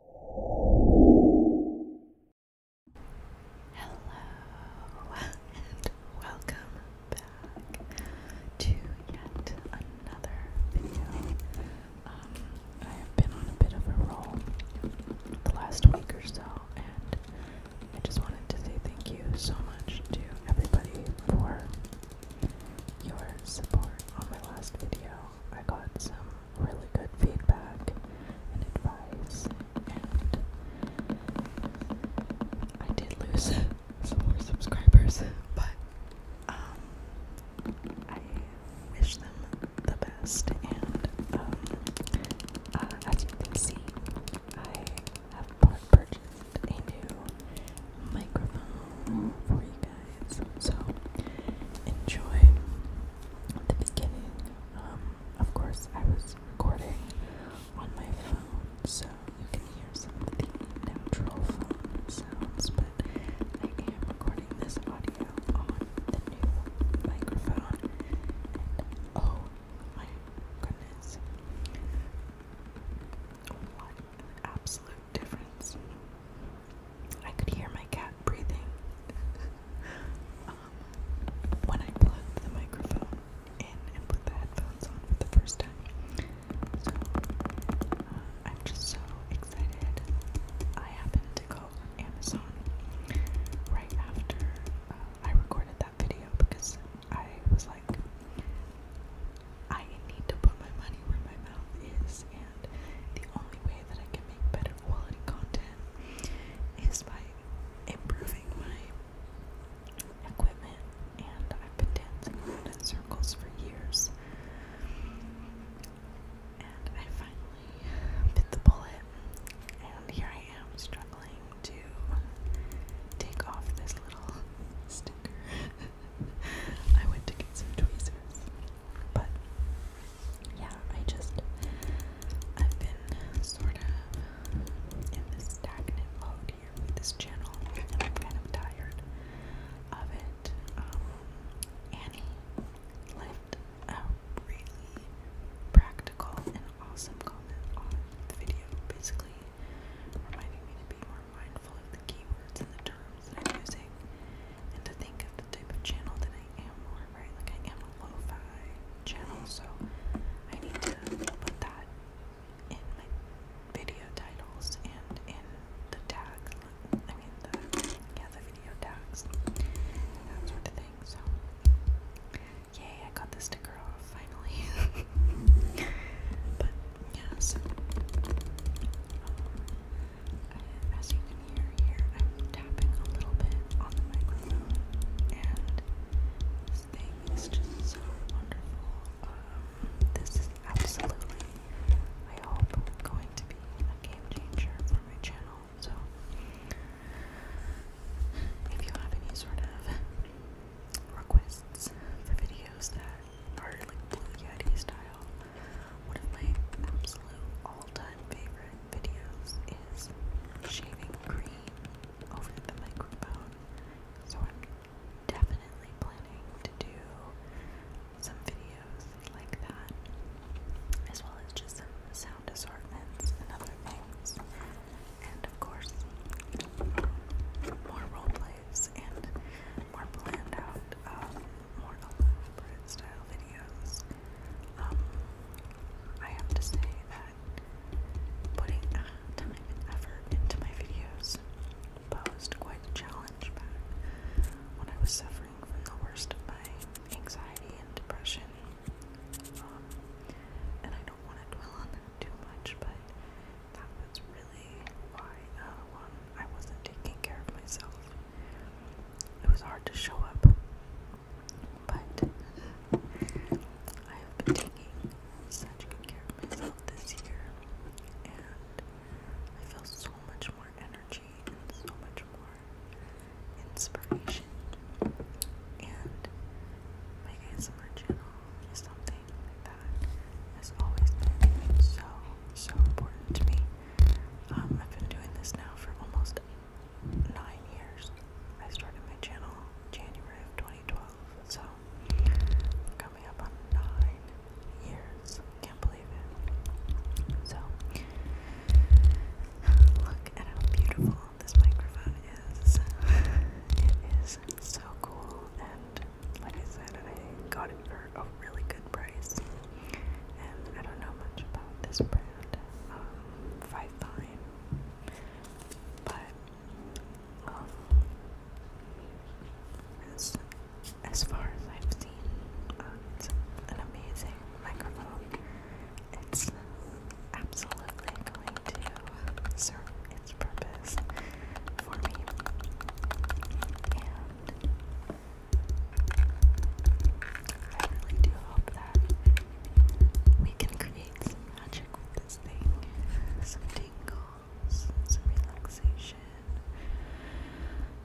Hello and welcome back to yet another video. Um, I have been on a bit of a roll the last week or so, and I just wanted to say thank you so much to everybody for your support on my last video. I got some really good feedback and advice, and I did lose some more subscribers, but um, I wish them the best. And um, uh, as you can see, I have purchased a new microphone for you guys. So enjoy the beginning. Um, of course, I was recording on my phone, so you can hear some of the natural phone sounds, but I am recording this audio on the new microphone. oh my goodness. What an absolute difference I could hear my cat breathing um, when I plugged the microphone in and put the headphones on for the first time. So uh, I'm just so excited. I happened to go Amazon right after uh, I recorded that video because I was like, I need to put my money where my mouth is, and the only way that I can make better quality content is by improving my equipment. And I've been dancing around in circles for years, and I finally bit the bullet, and here I am struggling to take off this little sticker. I went to get some tweezers. But yeah, I just I've been sort of in this stagnant mode here with this channel I'm kind of tired of it. Um Annie left really practical and awesome comment on the video. Basically reminding me to be more mindful of the keywords and the terms that I'm using, and to think of the type of channel that I am on, right? Like, I am a lo-fi channel, so I need to put that in my video titles and in the tags, I mean, the, yeah, the video tags, that sort of thing, so, yay, I got the sticker off finally. but yeah, so um, as you can hear here, I'm tapping a little bit on the microphone, and this just so wonderful. Um, this is absolutely, I hope, going to be a game changer for my channel. So, if you have any sort of requests for videos that are like Blue Yeti style. One of my absolute all-time favorite videos is shaving cream over the microphone. So I'm definitely planning to do some videos like that, as well as just some sound assortments and other things and of course, more role plays and more planned out, um, more elaborate style videos. Um, I have to say that putting uh, time and effort into my videos posed quite a challenge back when I was suffering from the worst of my anxiety and depression. Um, and I want to dwell on them too much, but that was really why, uh, I wasn't taking care of myself. It was hard to show up, but I have been taking such good care of myself this year, and I feel so much more energy and so much more inspiration and my ASMR channel is something that always so, so important to me. Um, I've been doing this now for almost nine years. I started my channel January of 2012, so coming up on nine years. Can't believe it. So, look at how beautiful this microphone is. it is so cool, and like I said, I got it for a really good price. And I don't know much about this brand, um, but um, as far as I've seen, uh, it's an amazing microphone. It's absolutely going to serve its purpose for me. And I really do hope that we can create some magic with this thing. Some tingles, some relaxation,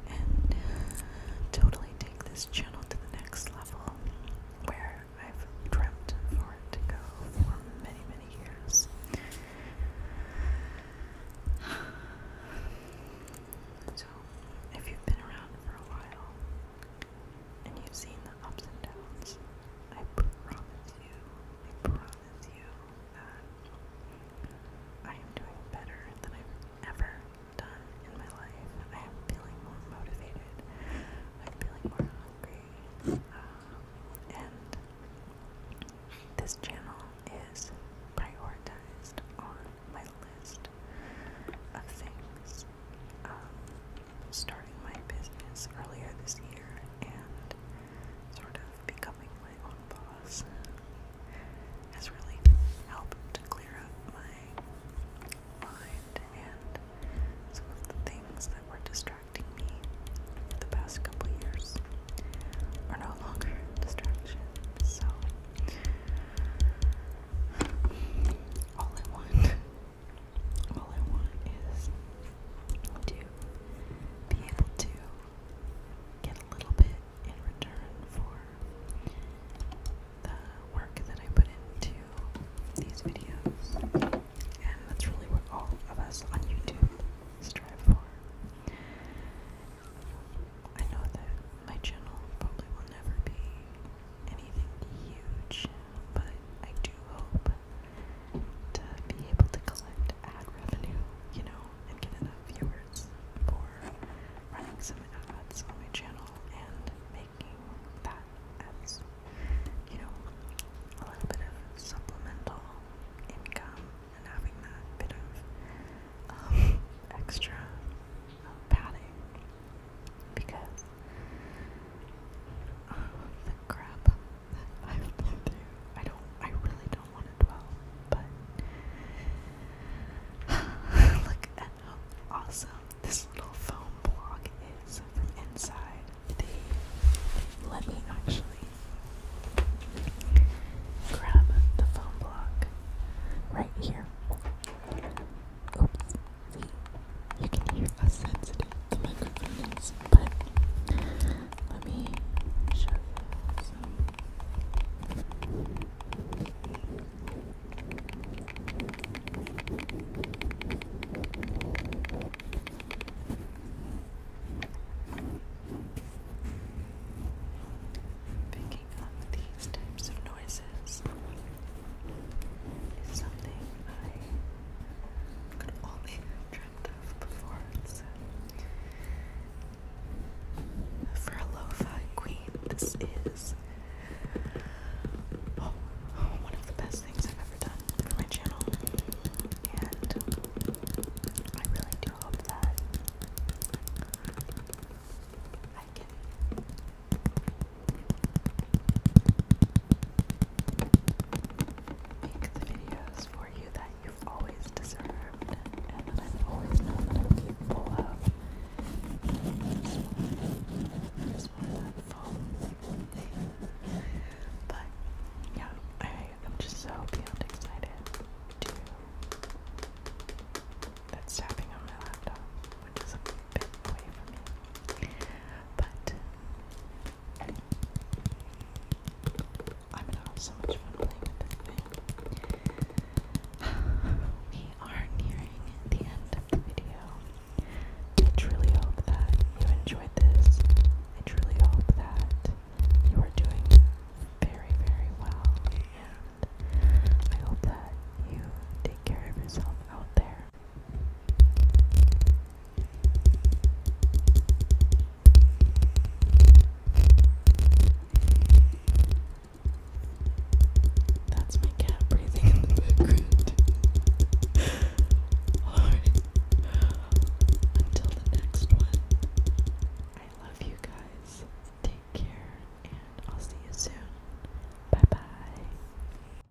and totally take this to the next level where I've dreamt for it to go for many, many years. So, if you've been around for a while and you've seen the ups and downs, I promise you, I promise you that I am doing better than i ever done in my life. I am feeling more motivated. I'm feeling more hungry. Um, and this channel is prioritized on my list of things. Um, starting my business earlier this year and sort of becoming my own boss videos has really helped to clear up my mind and some of the things that were distracting me the past couple years are no longer distractions. So all I want all I want is to be able to get a little bit in return for the work that I put into these videos. And that's really what all of us on YouTube strive for. I know that my channel probably will never be anything huge, but I do hope to be able to collect ad revenue, you know, and get enough viewers for running some ads on my channel and making that as, you know, a little bit of supplemental income and having that bit of um, extra uh, padding because the crap that I've been through, I don't, I really look at how awesome this little foam block is from inside. The let me actually grab the foam block right here. Oops, see, you can hear how sensitive the but let me shove picking up these types of noises is something I could only friend of for a lo-fi queen, this is oh, oh, one of the best things I've ever done for my channel, and I really do hope that I can make the videos for you that you've always deserved and that I've always known that I'm Just wanted, just wanted that foam But yeah, I am just so beyond excited to that's tapping on my laptop, which is a bit away from me. But I'm gonna have so much fun playing with this thing. we are nearing the end of the video. I truly hope that you enjoyed this. I truly hope that you are doing very, very well. And I hope that you take care of yourself out there. That's my cat breathing in the background. Until the next one, I love you guys. Take care, and I'll see you soon. Bye bye.